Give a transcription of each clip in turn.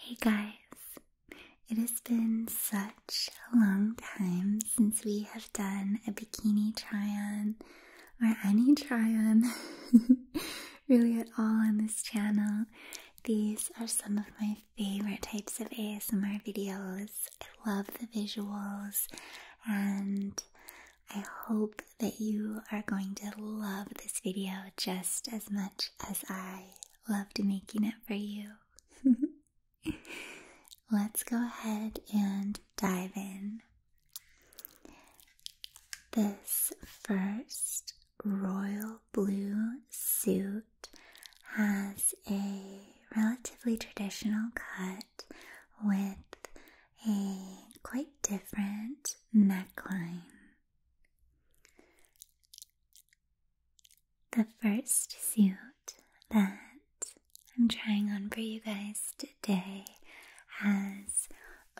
Hey guys, it has been such a long time since we have done a bikini try on or any try on. really at all on this channel. These are some of my favorite types of ASMR videos. I love the visuals, and I hope that you are going to love this video just as much as I loved making it for you. Let's go ahead and dive in. This first royal blue suit has a relatively traditional cut with a quite different neckline. The first suit that I'm trying on for you guys today has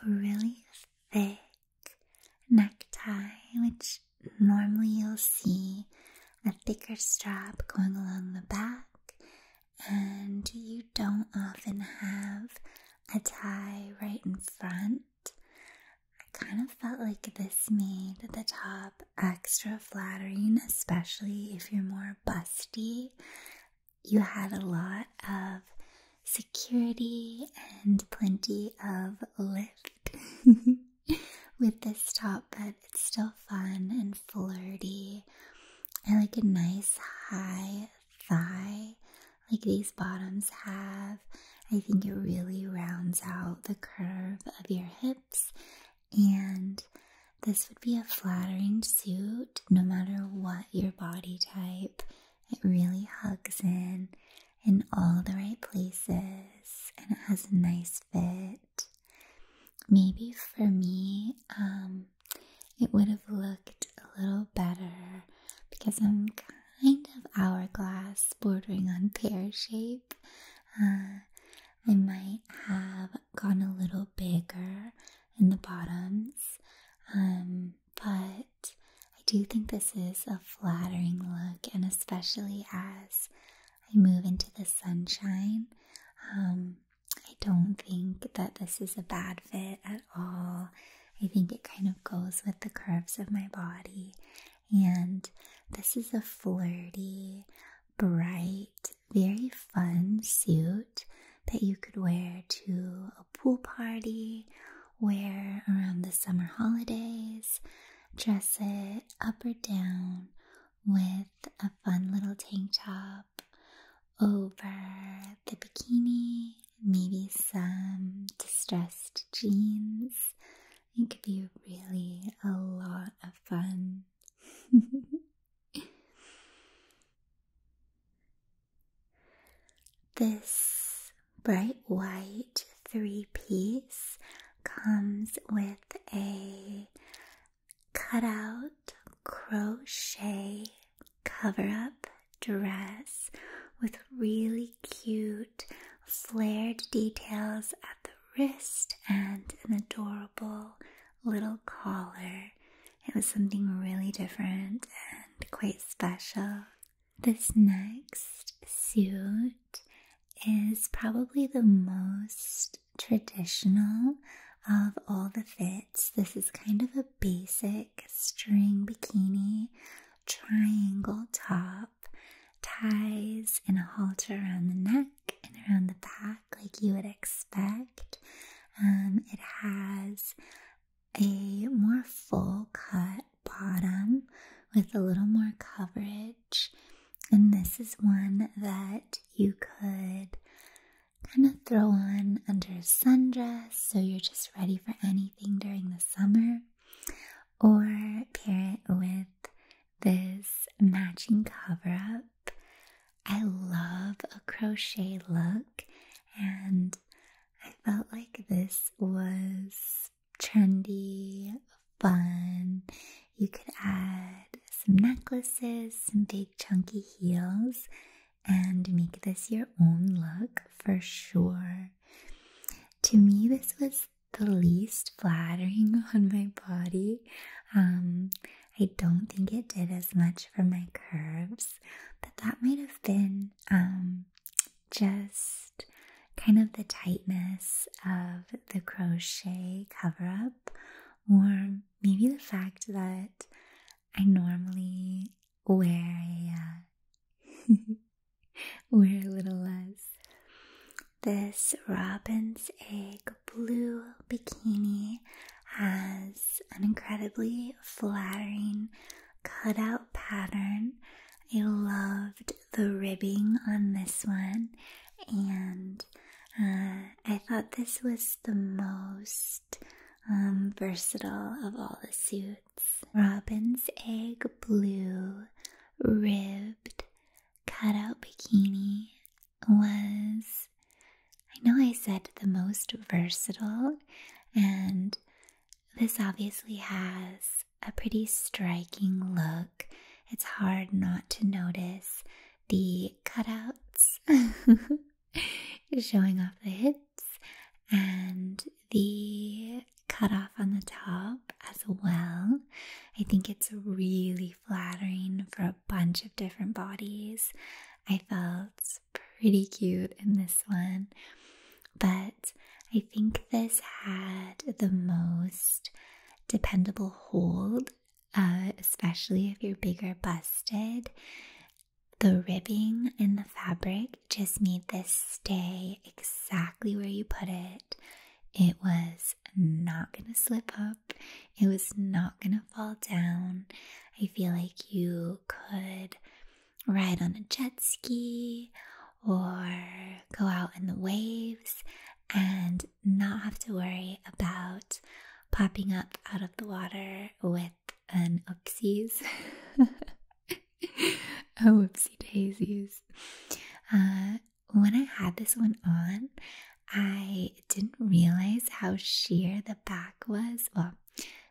a really thick necktie, which normally you'll see a thicker strap going along the back, and you don't often have a tie right in front. I kind of felt like this made the top extra flattering, especially if you're more busty you had a lot of security and plenty of lift with this top, but it's still fun and flirty. I like a nice high thigh, like these bottoms have. I think it really rounds out the curve of your hips, and this would be a flattering suit no matter what your body type it really hugs in in all the right places and it has a nice fit. Maybe for me, um, it would have looked a little better because I'm kind of hourglass bordering on pear shape. Uh, I might have gone a little bigger in the bottoms. Um, but I do think this is a flattering look, and especially as I move into the sunshine, um, I don't think that this is a bad fit at all. I think it kind of goes with the curves of my body, and this is a flirty, bright, very fun suit that you could wear to pool party, wear around the summer holidays, dress it up or down with a fun little tank top over the bikini, maybe some distressed jeans. It could be really a lot of fun. This bright white three piece comes with a cutout crochet cover up dress with really cute flared details at the wrist and an adorable little collar it was something really different and quite special. This next suit is probably the most traditional of all the fits. This is kind of a basic string bikini, triangle top, ties, and a halter around the neck and around the back, like you would expect. Um, it has a more full cut bottom with a little more coverage. And this is one that you could kind of throw on under a sundress so you're just ready for anything during the summer, or pair it with this matching cover up. I love a crochet look, and I felt like this was trendy, fun. You could add some necklaces, some big chunky heels, and make this your own look for sure. To me, this was the least flattering on my body. Um, I don't think it did as much for my curves, but that might have been um, just kind of the tightness of the crochet cover up, or maybe the fact that I normally wear a, uh, wear a little less. This robin's egg blue bikini has an incredibly flattering cutout pattern. I loved the ribbing on this one, and uh, I thought this was the most um, versatile of all the suits. Robin's egg blue ribbed cutout bikini was I know I said the most versatile, and this obviously has a pretty striking look. It's hard not to notice the cutouts showing off the hips and the cut off on the top as well. I think it's really flattering for a bunch of different bodies. I felt pretty cute in this one, but I think this had the most dependable hold, uh, especially if you're bigger busted. The ribbing in the fabric just made this stay exactly where you put it. It was not going to slip up, it was not going to fall down. I feel like you could ride on a jet ski or go out in the waves and not have to worry about popping up out of the water with an oopsies. oh, oopsie daisies. Uh, when I had this one on, I didn't realize how sheer the back was. Well,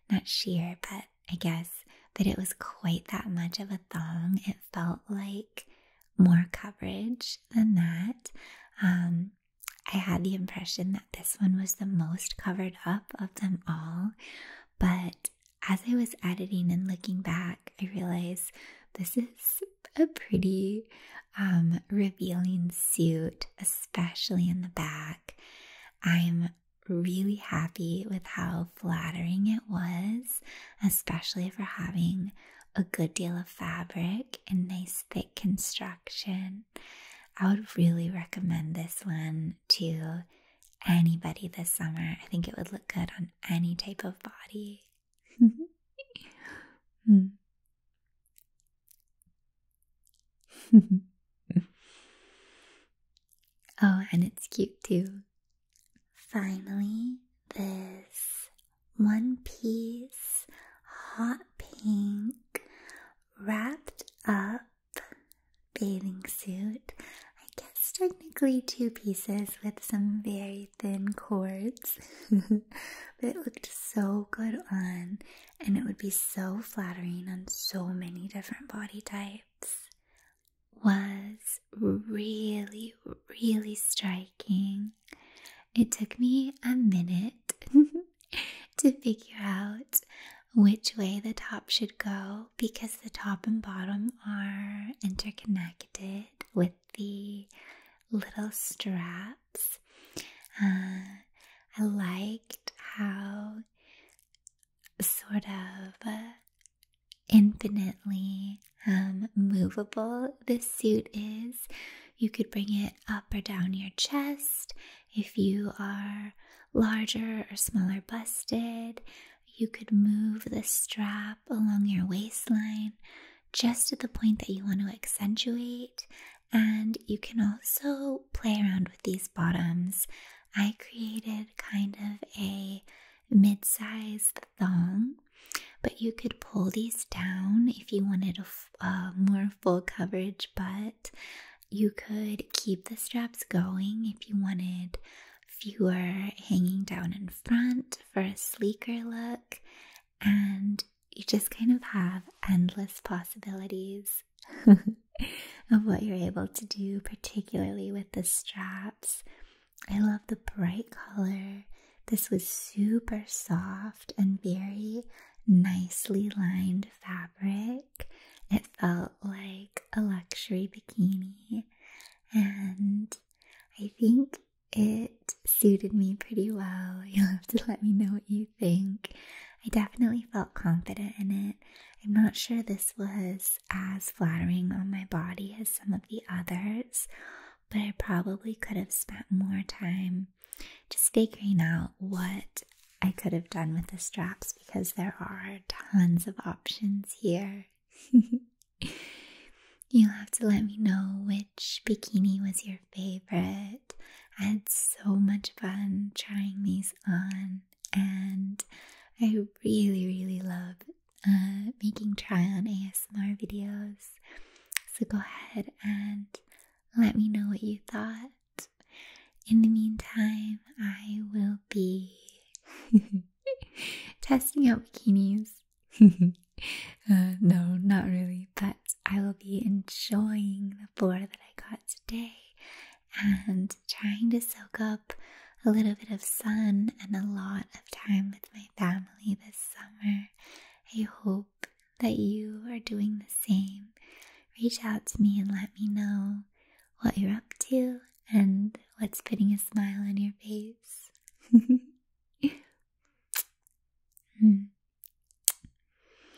not sheer, but I guess that it was quite that much of a thong. It felt like more coverage than that. Um, I had the impression that this one was the most covered up of them all, but as I was editing and looking back, I realized this is a pretty um, revealing suit, especially in the back. I'm really happy with how flattering it was, especially for having a good deal of fabric and nice thick construction. I would really recommend this one to anybody this summer. I think it would look good on any type of body. Hmm. oh, and it's cute too. Finally, this one piece hot pink wrapped up bathing suit. I guess technically two pieces with some very thin cords, but it looked so good on and it would be so flattering on so many different body types, was really, really striking. It took me a minute to figure out which way the top should go because the top and bottom are interconnected with the little straps. Uh, I liked how sort of uh, infinitely um, movable this suit is. You could bring it up or down your chest. If you are larger or smaller busted, you could move the strap along your waistline just at the point that you want to accentuate and you can also play around with these bottoms. I created kind of a mid sized thong, but you could pull these down if you wanted a more full coverage But You could keep the straps going if you wanted fewer hanging down in front for a sleeker look. And you just kind of have endless possibilities. of what you're able to do, particularly with the straps. I love the bright color. This was super soft and very nicely lined fabric. It felt like a luxury bikini, and I think it suited me pretty well. You'll have to let me know what you think. I definitely felt confident in it. I'm not sure this was as flattering on my body as some of the others, but I probably could have spent more time just figuring out what I could have done with the straps because there are tons of options here. You'll have to let me know which bikini was your favorite I had so much fun trying these on, and I really, really love uh, making try on ASMR videos. So go ahead and let me know what you thought. In the meantime, I will be testing out bikinis. Uh, no, not really, but I will be enjoying the four that I got today and trying to soak up a little bit of sun and a lot of time with my family this summer. I hope that you are doing the same. Reach out to me and let me know what you're up to and what's putting a smile on your face. Hmm.